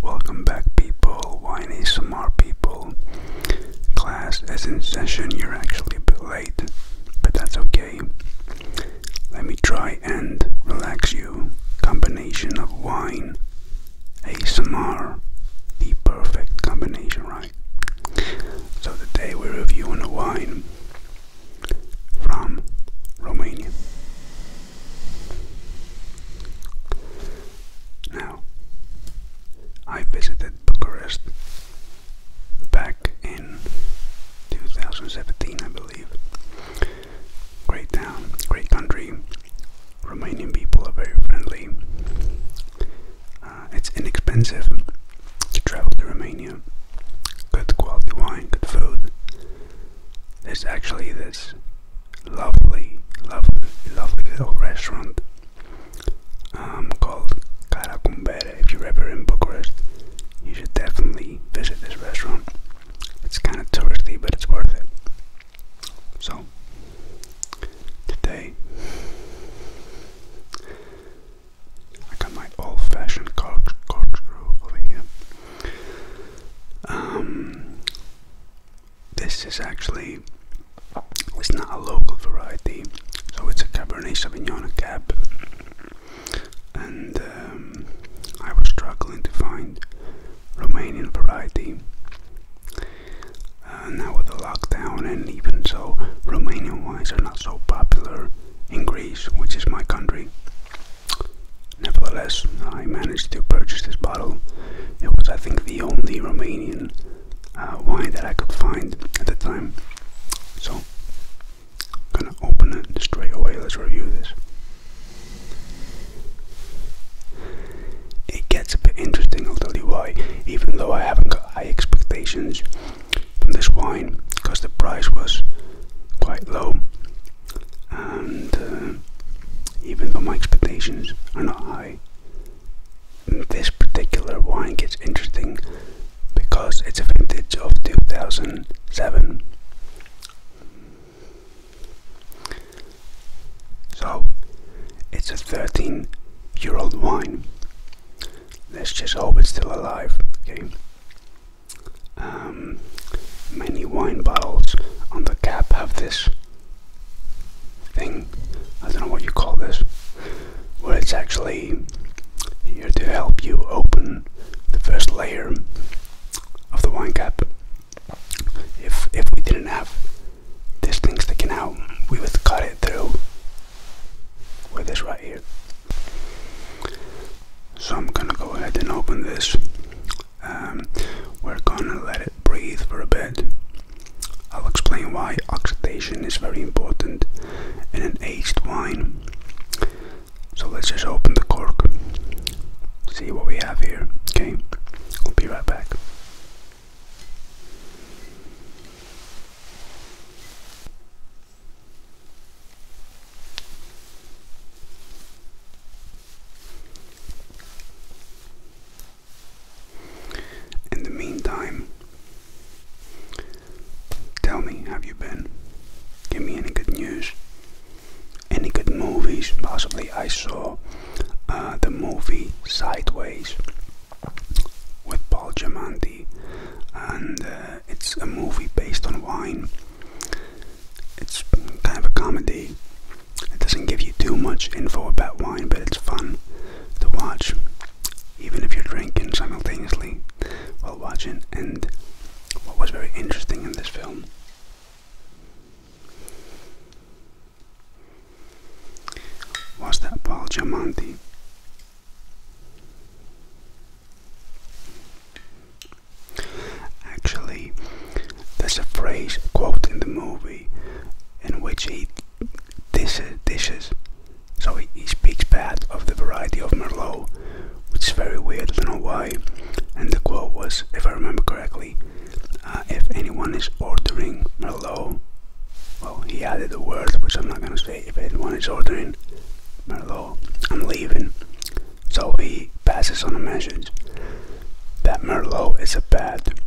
Welcome back, people, wine ASMR people. Class is in session, you're actually a bit late, but that's okay. Let me try and relax you. Combination of wine, ASMR, the perfect combination, right? So today we're reviewing a wine from Romania. Now, I visited Bucharest back in 2017, I believe. Great town, great country. Romanian people are very friendly. Uh, it's inexpensive to travel to Romania. Good quality wine, good food, it's actually this lovely, lovely, lovely little restaurant um, called Cara Cumbera. If you're ever in Bucharest, you should definitely visit this restaurant. It's kind of touristy, but it's worth it. So, today, I got my old fashioned corkscrew over here. Um, this is actually it's not a local variety, so it's a Cabernet Sauvignon a Cab, and um, I was struggling to find Romanian variety. Uh, now with the lockdown, and even so, Romanian wines are not so popular in Greece, which is my country. Nevertheless, I managed to purchase this bottle. It was, I think, the only Romanian uh, wine that I could find at the time. So, I'm gonna open it straight away. Let's review this. It gets a bit interesting. I'll tell you why. Even though I haven't got high expectations, this wine because the price was quite low and uh, even though my expectations are not high this particular wine gets interesting because it's a vintage of 2007 so it's a 13 year old wine let's just hope it's still alive okay um, many wine bottles on the cap have this thing. I don't know what you call this, where it's actually here to help you open the first layer of the wine cap. If if we didn't have this thing sticking out, we would cut it through with this right here. So I'm gonna go ahead and open this. Um, we're gonna let it breathe for a bit. I'll explain why oxidation is very important in an aged wine. So let's just open the cork, see what we have here. Okay, we'll be right back. In the meantime, tell me, have you been? Give me any good news, any good movies. Possibly, I saw uh, the movie Sideways with Paul Giamatti, and uh, it's a movie based on wine. It's kind of a comedy. It doesn't give you too much info about wine, but it's fun to watch, even if you're drinking simultaneously while watching. And what was very interesting in this film was that Paul Giamatti Actually, there's a phrase quote in the movie in which he dishes dishes, so he, he speaks bad of the variety of Merlot, which is very weird, I don't know why. And the quote was, if I remember correctly, uh, if anyone is ordering Merlot, well, he added the word, which I'm not going to say if anyone is ordering Merlot, I'm leaving. So he passes on a message that Merlot is a bad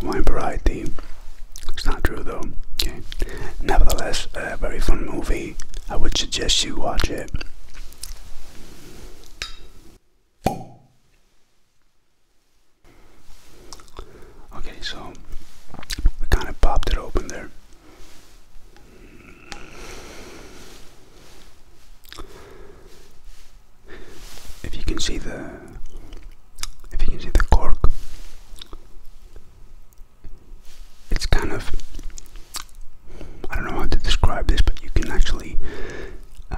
wine variety. It's not true though. Okay. Nevertheless, a very fun movie. I would suggest you watch it. Okay, so I kind of popped it open there. If you can see the if you can see the cork, it's kind of I don't know how to describe this, but you can actually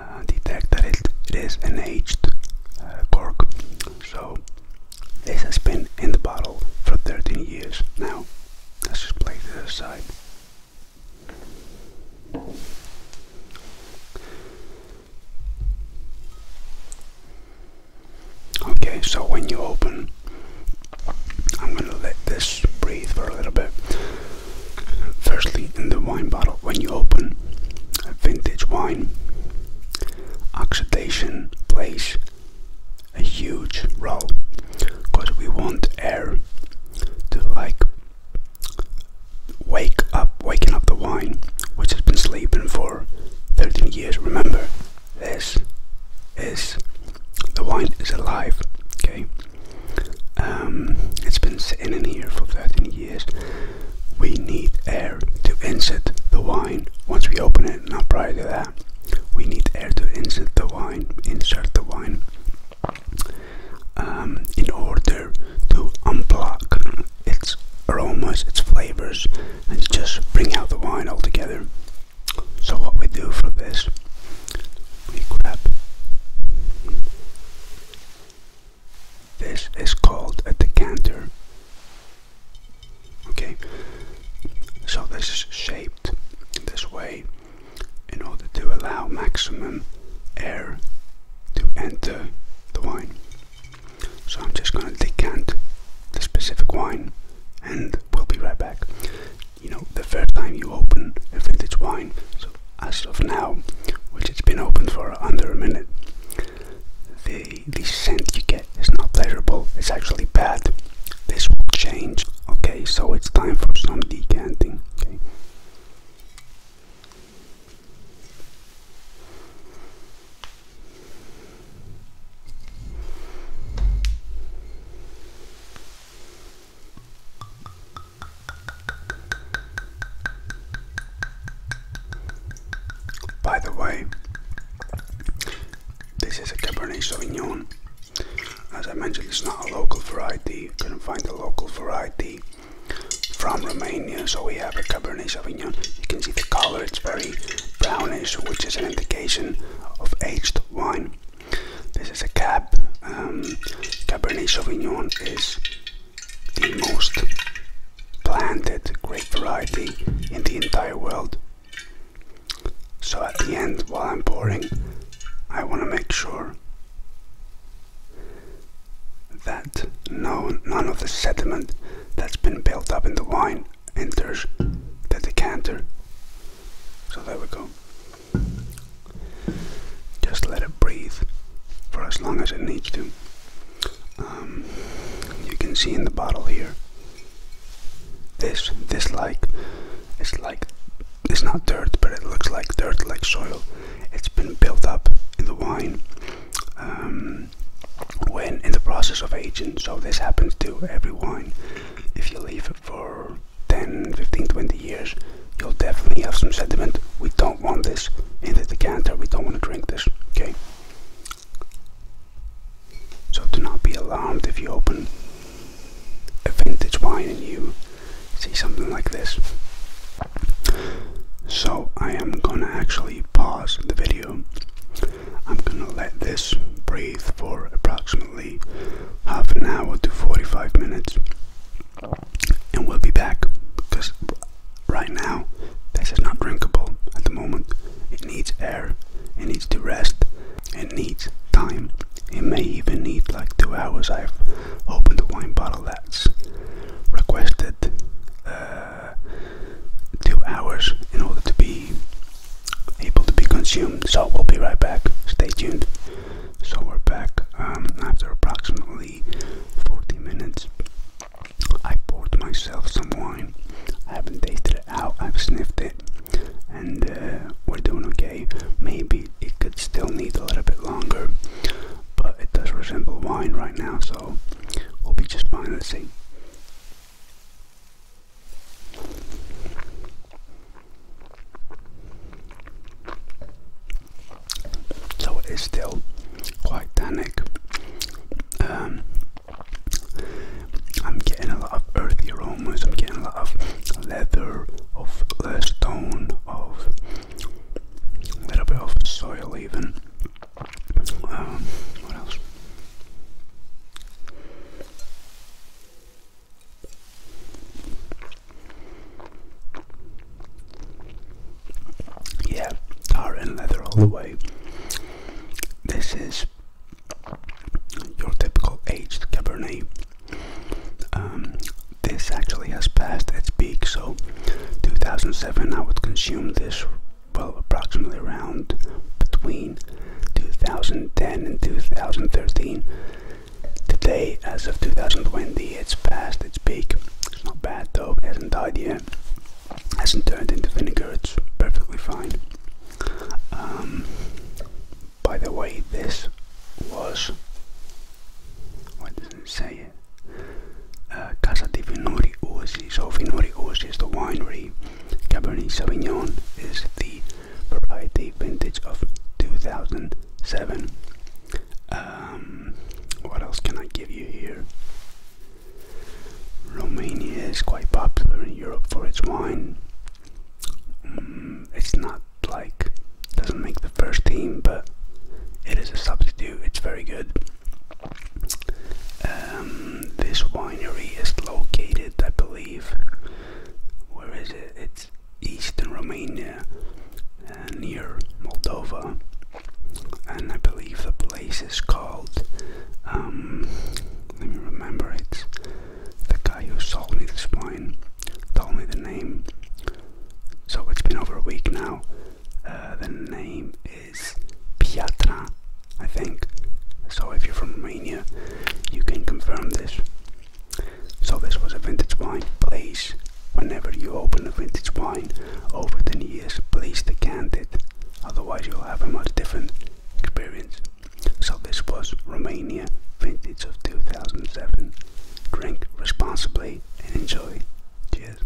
uh, detect that it is an aged uh, cork. So this has been in the bottle for 13 years now. Let's just play the other side. Okay, so when you open, I'm gonna let this breathe for a little bit. Firstly, in the wine bottle when you open a vintage wine. Oxidation plays a huge role because we want air to like wake up, waking up the wine which has been sleeping for 13 years. Remember, this is the wine is alive, okay? Um, it's been sitting in here for 13 years we need air to insert the wine once we open it. Now, prior to that, we need air to insert the wine, insert the wine, um, in order to unblock its aromas, its flavors, and just bring out the wine altogether. So, what we do for this, we grab this is called a decanter. Okay, so this is shaped this way in order to allow maximum air to enter the wine. So I'm just going to decant the specific wine and we'll be right back. You know, the first time you open a vintage wine, as of now, which it's been open for under a minute, the, the scent you get is not pleasurable, it's actually bad. This will change. Okay, so it's time for some decanting. Okay. By the way, this is a Cabernet Sauvignon. As I mentioned, it's not a local variety. Couldn't find a local variety from Romania, so we have a Cabernet Sauvignon. You can see the color; it's very brownish, which is an indication of aged wine. This is a cab. Um, Cabernet Sauvignon is the most planted grape variety in the entire world. So at the end, while I'm pouring, I want to make sure that no, none of the sediment that's been built up in the wine enters the decanter. So there we go. Just let it breathe for as long as it needs to. Um, you can see in the bottle here. This, this like, it's like, it's not dirt, but it looks like dirt, like soil. It's been built up in the wine um, when in the process of aging. So this happens to every wine. If you leave it for 10, 15, 20 years, you'll definitely have some sediment. We don't want this in the decanter, we don't want to drink this, okay? So do not be alarmed if you open a vintage wine and you see something like this. So I am gonna actually pause the video. I'm gonna let this breathe for approximately half an hour to 45 minutes. And we'll be back because right now this is not drinkable at the moment. It needs air, it needs to rest, it needs time. It may even need like two hours. I've opened a wine bottle that's requested uh, two hours in order to be able to be consumed. So we'll be right back. Stay tuned. So we're back um, after approximately 40 minutes. I poured myself some wine. I haven't tasted it out. I've sniffed it, and uh, we're doing okay. Maybe it could still need a little bit longer, but it does resemble wine right now, so we'll be just fine. Let's see. So it is still quite tannic. Um, I'm getting a lot of earthy aromas, I'm getting a lot of leather, of stone, of a little bit of soil even. Um, yeah, tar and leather all the way. This is your typical aged Cabernet. Um, this actually has passed its peak, so 2007 I would consume this well, approximately around between 2010 and 2013. Today, as of 2020, it's past its peak. It's not bad though, it hasn't died yet, hasn't turned into vinegar, it's perfectly fine. Um, by the way, this was, what does it say? Uh, Casa di Finori Uzi. So Finori Uzi is the winery Cabernet Sauvignon is the variety vintage of 2007. Um, what else can I give you here? Romania is quite popular in Europe for its wine. Mm, it's not like doesn't make the first team, but it is a substitute. It's very good. Um, this winery is located, I believe, where is it? It's eastern Romania, uh, near Moldova, and I believe the place is called. Um, let me remember it. The guy who sold me this wine told me the name. So it's been over a week now. Uh, the name is Piatra, I think. So if you're from Romania, you can confirm this. So this was a vintage wine. Please, whenever you open a vintage wine over 10 years, please decant it. Otherwise you'll have a much different experience. So this was Romania vintage of 2007. Drink responsibly and enjoy. Cheers.